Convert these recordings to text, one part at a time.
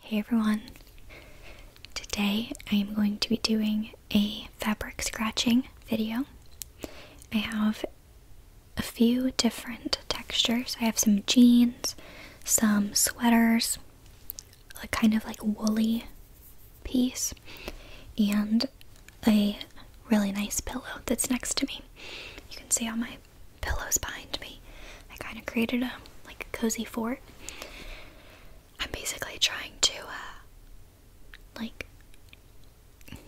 Hey everyone! Today I am going to be doing a fabric scratching video. I have a few different textures. I have some jeans, some sweaters, a kind of like woolly piece, and a really nice pillow that's next to me. You can see all my pillows behind me. I kind of created a like cozy fort. I'm basically trying to uh, like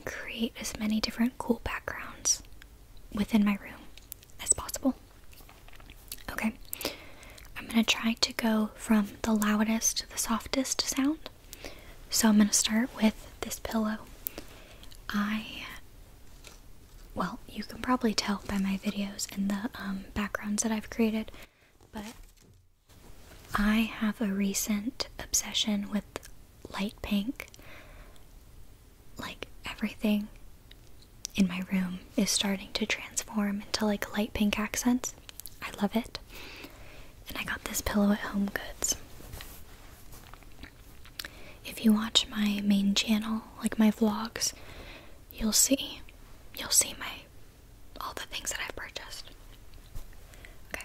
create as many different cool backgrounds within my room as possible. Okay, I'm gonna try to go from the loudest to the softest sound. So I'm gonna start with this pillow. I well, you can probably tell by my videos and the um, backgrounds that I've created, but I have a recent obsession with light pink. Like everything in my room is starting to transform into like light pink accents. I love it. And I got this pillow at Home Goods. If you watch my main channel, like my vlogs, you'll see. You'll see my all the things that I've purchased. Okay.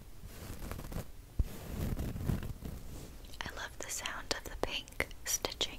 I love the sound of the pink stitching.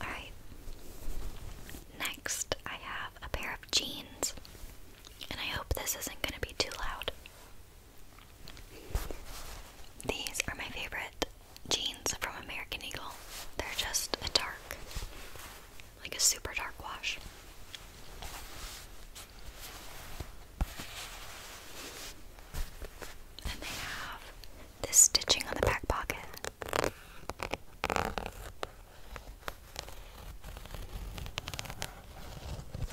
Alright. Next, I have a pair of jeans. And I hope this isn't going to be too loud. These are my favorite jeans from American Eagle. They're just a dark, like a super dark wash. And they have this stitching on the back pocket.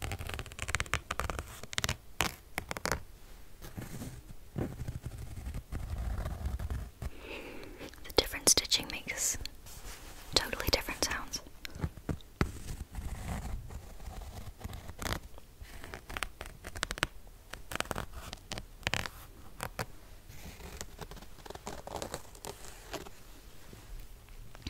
The different stitching makes totally different sounds.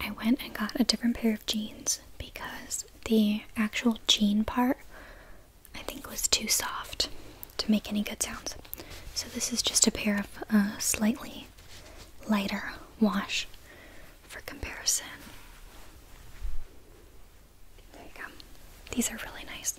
I went and got a different pair of jeans because the actual jean part I think was too soft to make any good sounds. So this is just a pair of a uh, slightly lighter wash for comparison. There you go. These are really nice.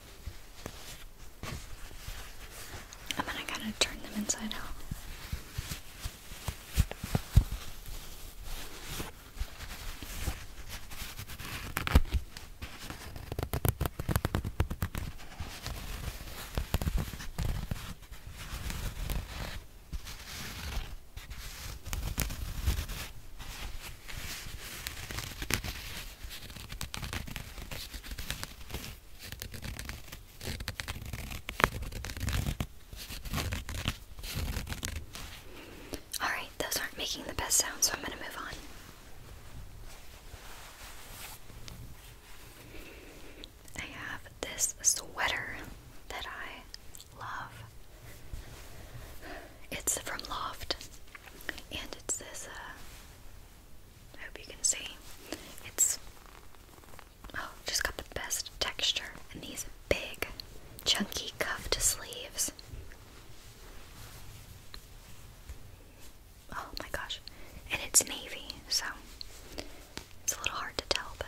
And then I gotta turn them inside out. Alright, those aren't making the best sound, so I'm going to move on. I have this sweater that I love. It's from Loft, and it's this uh, I hope you can see. It's oh, just got the best texture and these big, chunky cuffed sleeves. Oh my gosh. And it's navy, so it's a little hard to tell, but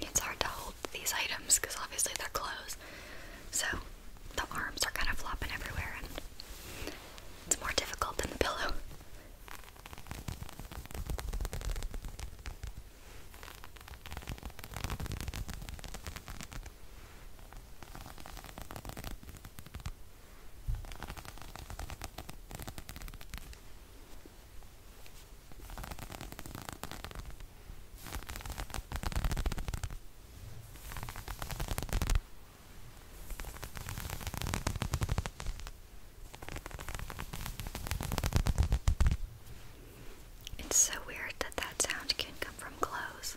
It's hard to hold these items because obviously they're clothes, so the arms are kind of flopping everywhere, and it's more difficult than the pillow. It's so weird that that sound can come from clothes.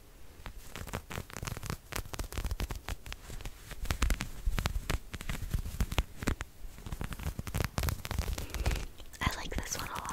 I like this one a lot.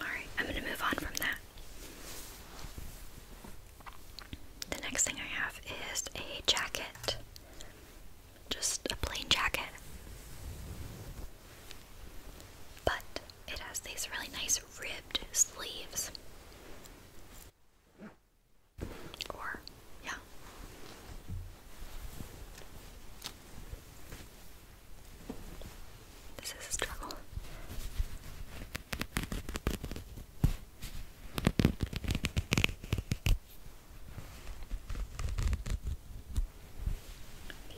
Alright, I'm going to move on from that. The next thing I have is a jacket. Just a plain jacket. But it has these really nice ribbed sleeves. Or, yeah. This is a struggle.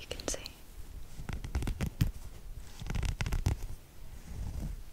You can see.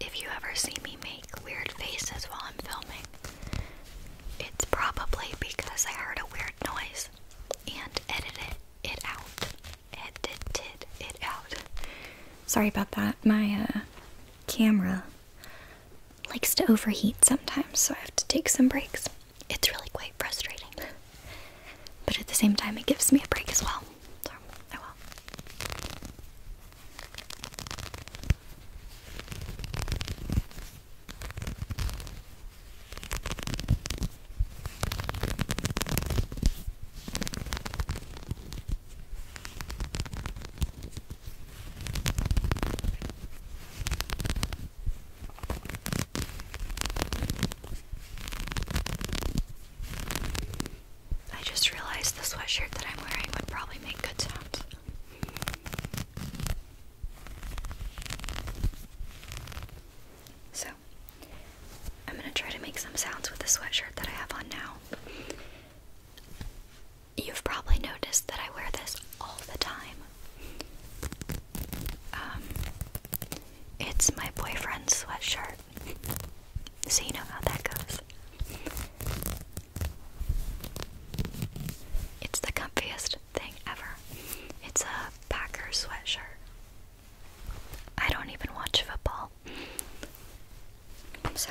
If you ever see me make weird faces while I'm filming, it's probably because I heard a weird noise and edited it out. Edited it out. Sorry about that. My uh, camera likes to overheat sometimes, so I have to take some breaks it's really quite frustrating. but at the same time, it gives me a break as well. So, I will. I just realized the sweatshirt that I'm wearing would probably make good sounds. So, I'm going to try to make some sounds with the sweatshirt that I have on now. You've probably noticed that I wear this all the time. Um, it's my boyfriend's sweatshirt, so you know how that goes. It's the comfiest thing ever. It's a Packer sweatshirt. I don't even watch football. So,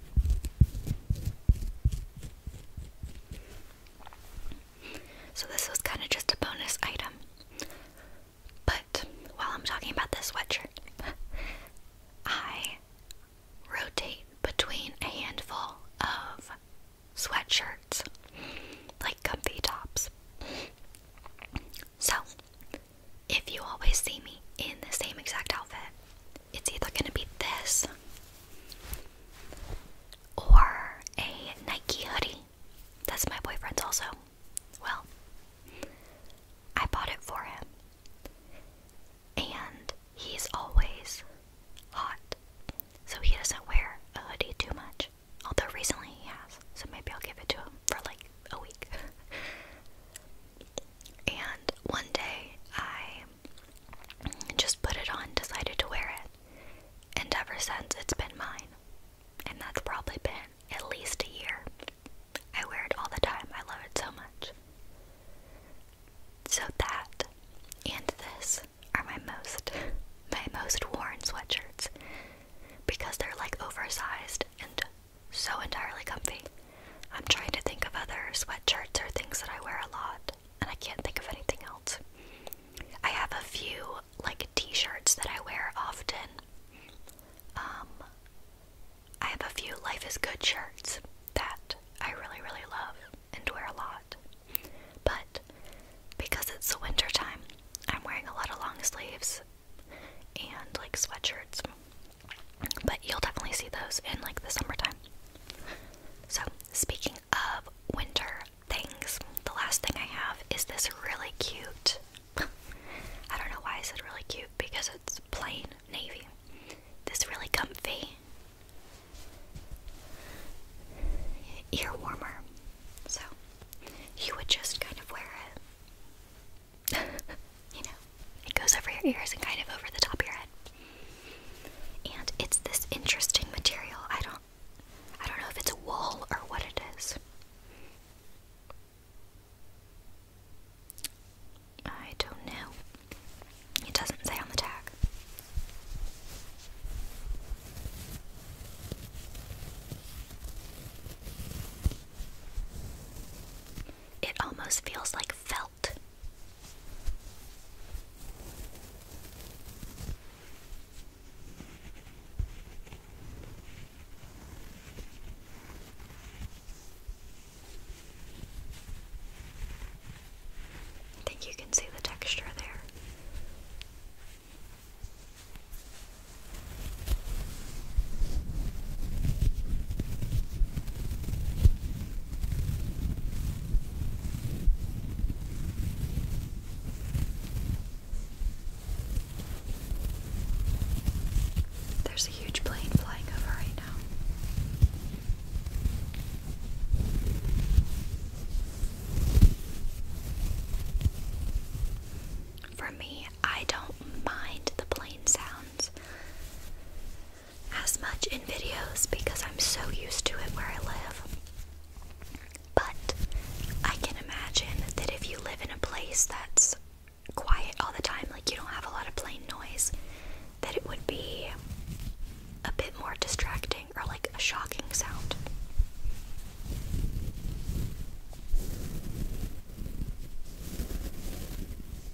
So this was kind of just a bonus item. But while I'm talking about this sweatshirt, I rotate between a handful of sweatshirts, like comfy tops. So, if you always see me in the same exact outfit, it's either going to be this or a Nike hoodie. That's my boyfriend's also. Well, I bought it for him. And he's always hot. So he doesn't wear a hoodie too much. Although recently he has. So maybe I'll give it to him for like a week. And one day I just put it on, decided to wear it. And ever since, it's been mine. And that's probably been at least a year. I wear it all the time. I love it so much. So that and this are my most my most worn sweatshirts because they're like oversized and so entirely comfy. I'm trying to think of other sweatshirts or things that I wear a lot, and I can't think of anything else. I have a few like t-shirts that I wear often. Um I have a few life is good shirts that I really really love and wear a lot. But because it's the winter time, I'm wearing a lot of long sleeves and like sweatshirts. But you'll definitely see those in like the summertime. So, speaking of winter things, the last thing I have is this really cute. I don't know why I said really cute because it's plain navy. This really comfy ear warmer. So, you would just kind of wear it you know, it goes over your ears and kind of over the top of your head. And it's this interesting material. I don't I don't know if it's wool or what it is. I don't know. It doesn't say on the tag. It almost feels like felt. I think you can see the texture there. There's a huge plane flying over right now. For me, I don't mind the plane sound as much in videos because I'm so used to it where I live. But I can imagine that if you live in a place that's quiet all the time, like you don't have a lot of plain noise, that it would be a bit more distracting or like a shocking sound.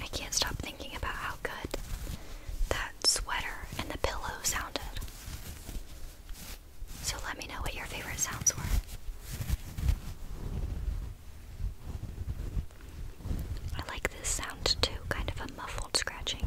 I can't stop thinking about how good that sweater and the pillow sounded. So let me know what your favorite sounds were. I like this sound too, kind of a muffled scratching.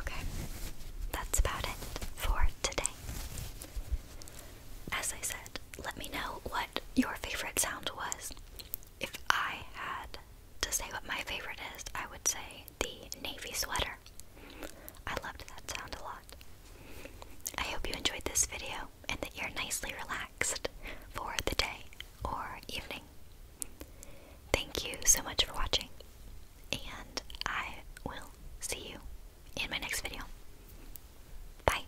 Okay, that's about it for today. As I said, let me know what your favorite sound was if I had to say what my favorite is, I would say the navy sweater. I loved that sound a lot. I hope you enjoyed this video and that you're nicely relaxed for the day or evening. Thank you so much for watching, and I will see you in my next video. Bye.